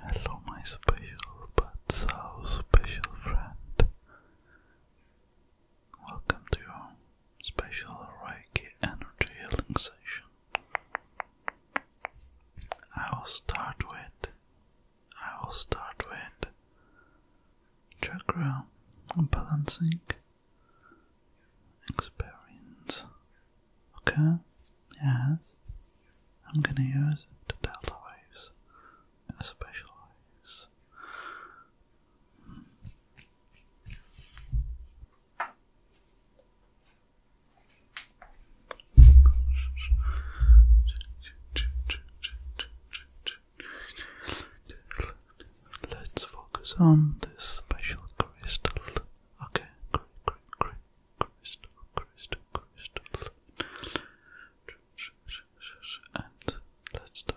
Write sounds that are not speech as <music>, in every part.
Hello, my special but so special friend. Welcome to your special Reiki energy healing session. I will start with I will start with chakra balancing experience. Okay? Yeah. I'm gonna use the delta waves and special waves. Let's focus on this special crystal. Okay, crystal, crystal, crystal. And let's start.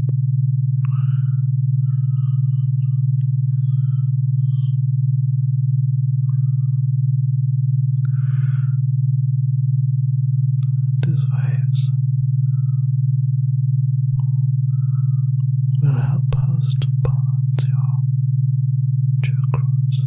These waves will help us to balance your chakras.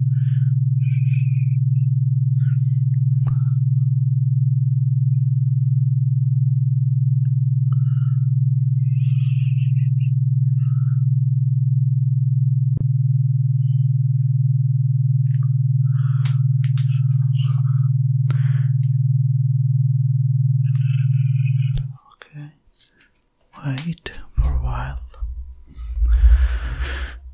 Okay, wait for a while.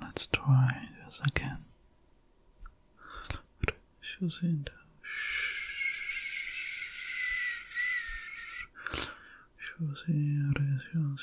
Let's try this again. She's in the Shows here, shows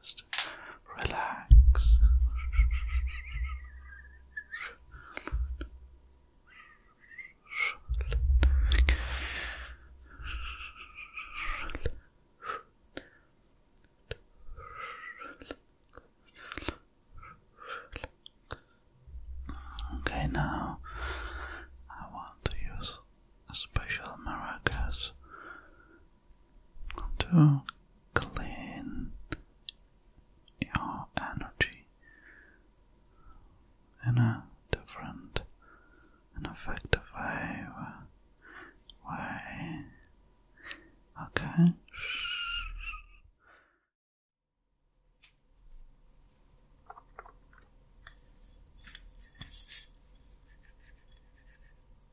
just relax. Okay, now I want to use special maracas to clean your energy in a different and effective way. way. Okay.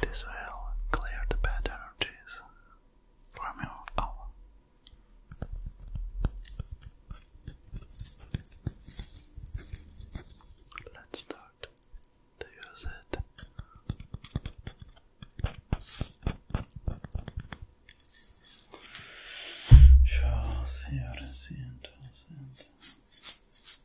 This will clear the bad energies from your Let's start to use it. Yo siempre siento, siento.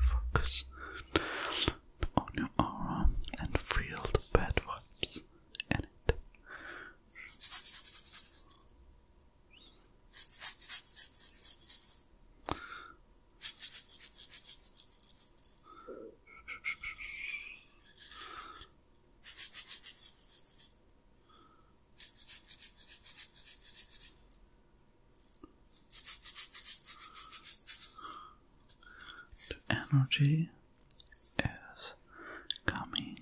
Focus on your aura and feel the bad vibes in it. The energy is coming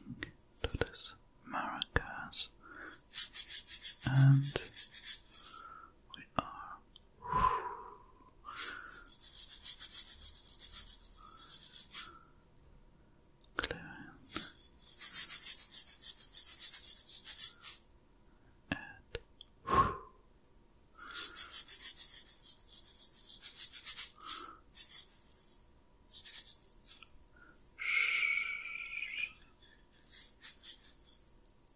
to this Maracas and we are clearing and Shh.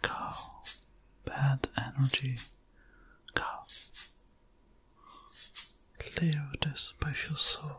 Cow, bad energy, cow, clear this special soul.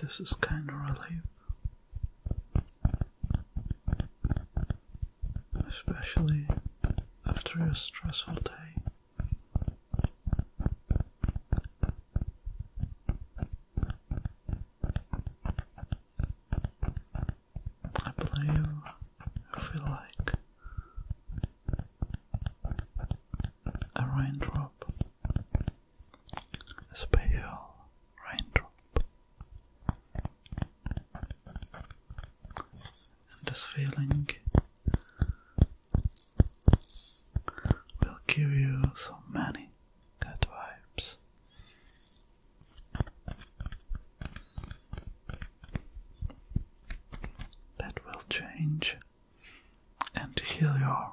This is kind of relief especially after a stressful day. I believe I feel like a raindrop special raindrop. And this feeling will give you so many good vibes. That will change and heal your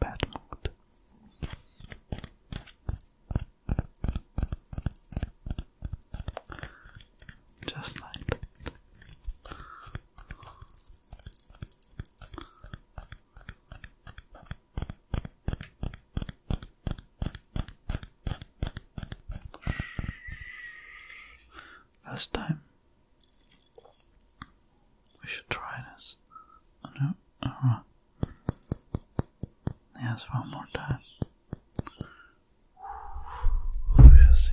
bad mood. Just like that. Last time we should try this on a, a rock. Yes, one more time. We'll see.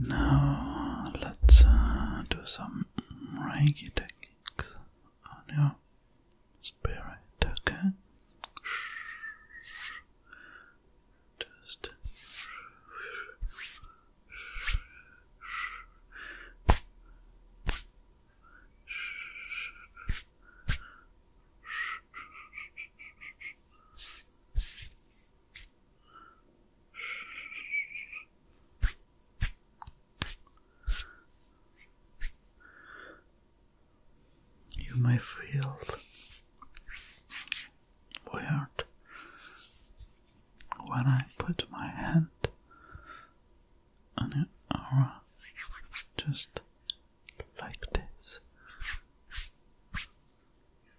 Now let's uh, do some Reiki techniques on your spirit, okay? Just you may feel weird when I put my hand on your aura just like this.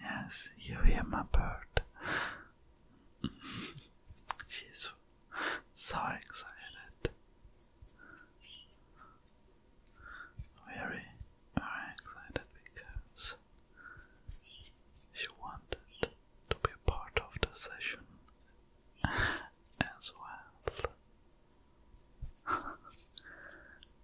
Yes, you hear my bird. <laughs> She's so excited. Very, very excited because she wanted to be a part of the session <laughs> as well. <laughs>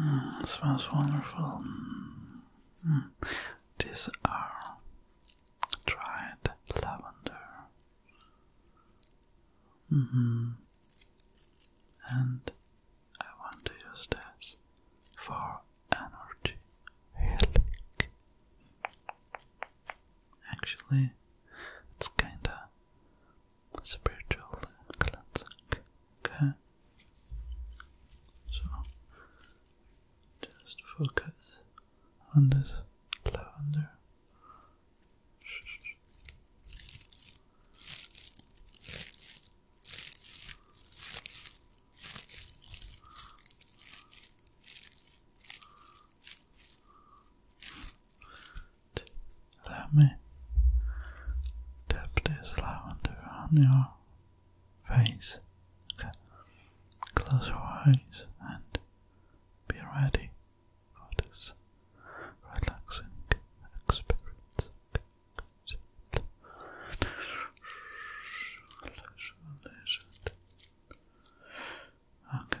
Mm, smells wonderful. Hmm, these are dried lavender. Mm-hmm. And I want to use this for energy healing. Actually, it's kinda spiritual cleansing. Okay? So, just focus on this lavender let me tap this lavender on your face. Close your eyes and be ready for this relaxing experience. Okay,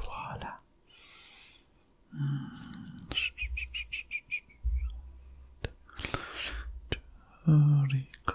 Voilà. Rico,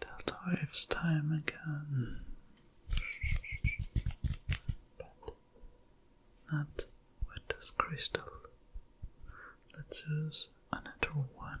That wave's time again, but not with this crystal. Let's use another one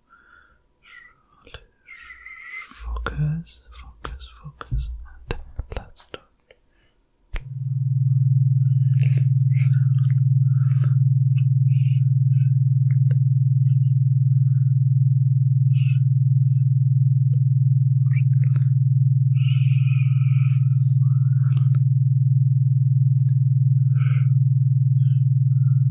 Focus, focus, focus, and let's do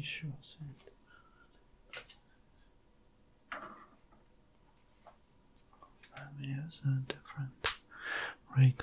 Sure send. Romeo's a different rake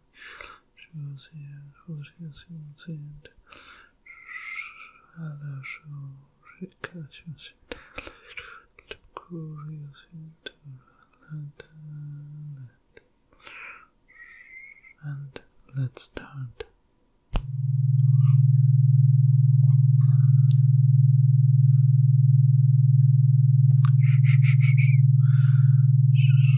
shows here, what is important. Other show, recursions, curious into lantern. And let's start. <laughs>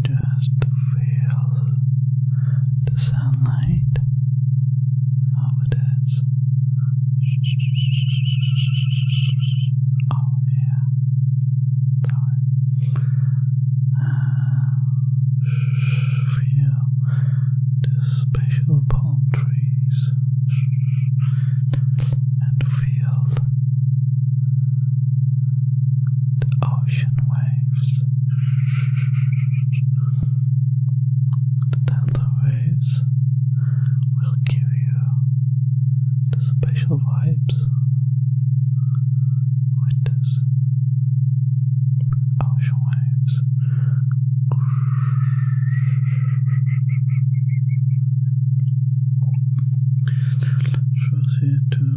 Just feel the sunlight over this. Oh yeah. Uh, feel the special palm trees and feel the ocean waves, the delta waves will give you the special vibes with this ocean waves. Shows you to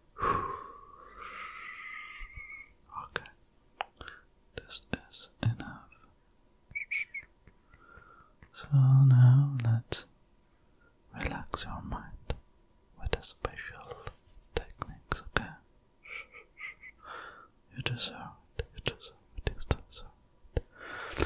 <sighs> Okay. This is enough. So now let's relax your mind with a special techniques, okay? You deserve it, you deserve it,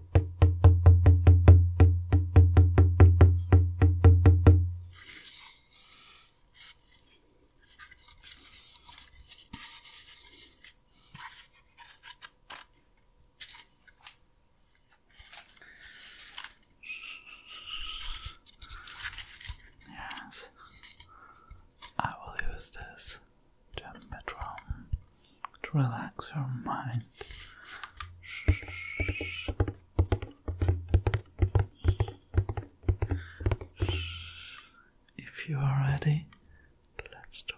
Yes, I will use this gem bedroom to relax your mind. If you are ready, let's start.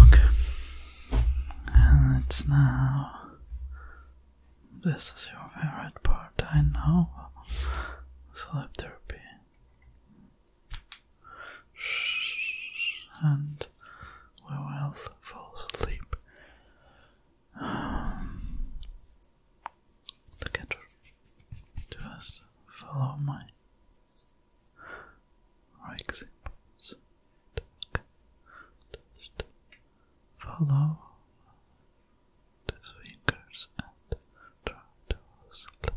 Okay, and it's now. This is your favorite part, I know. Sleep therapy. And we will fall asleep. Um, Together, cat just follow my examples. Just follow these fingers and try to slip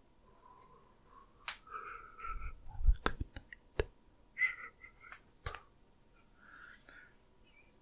Have a good night.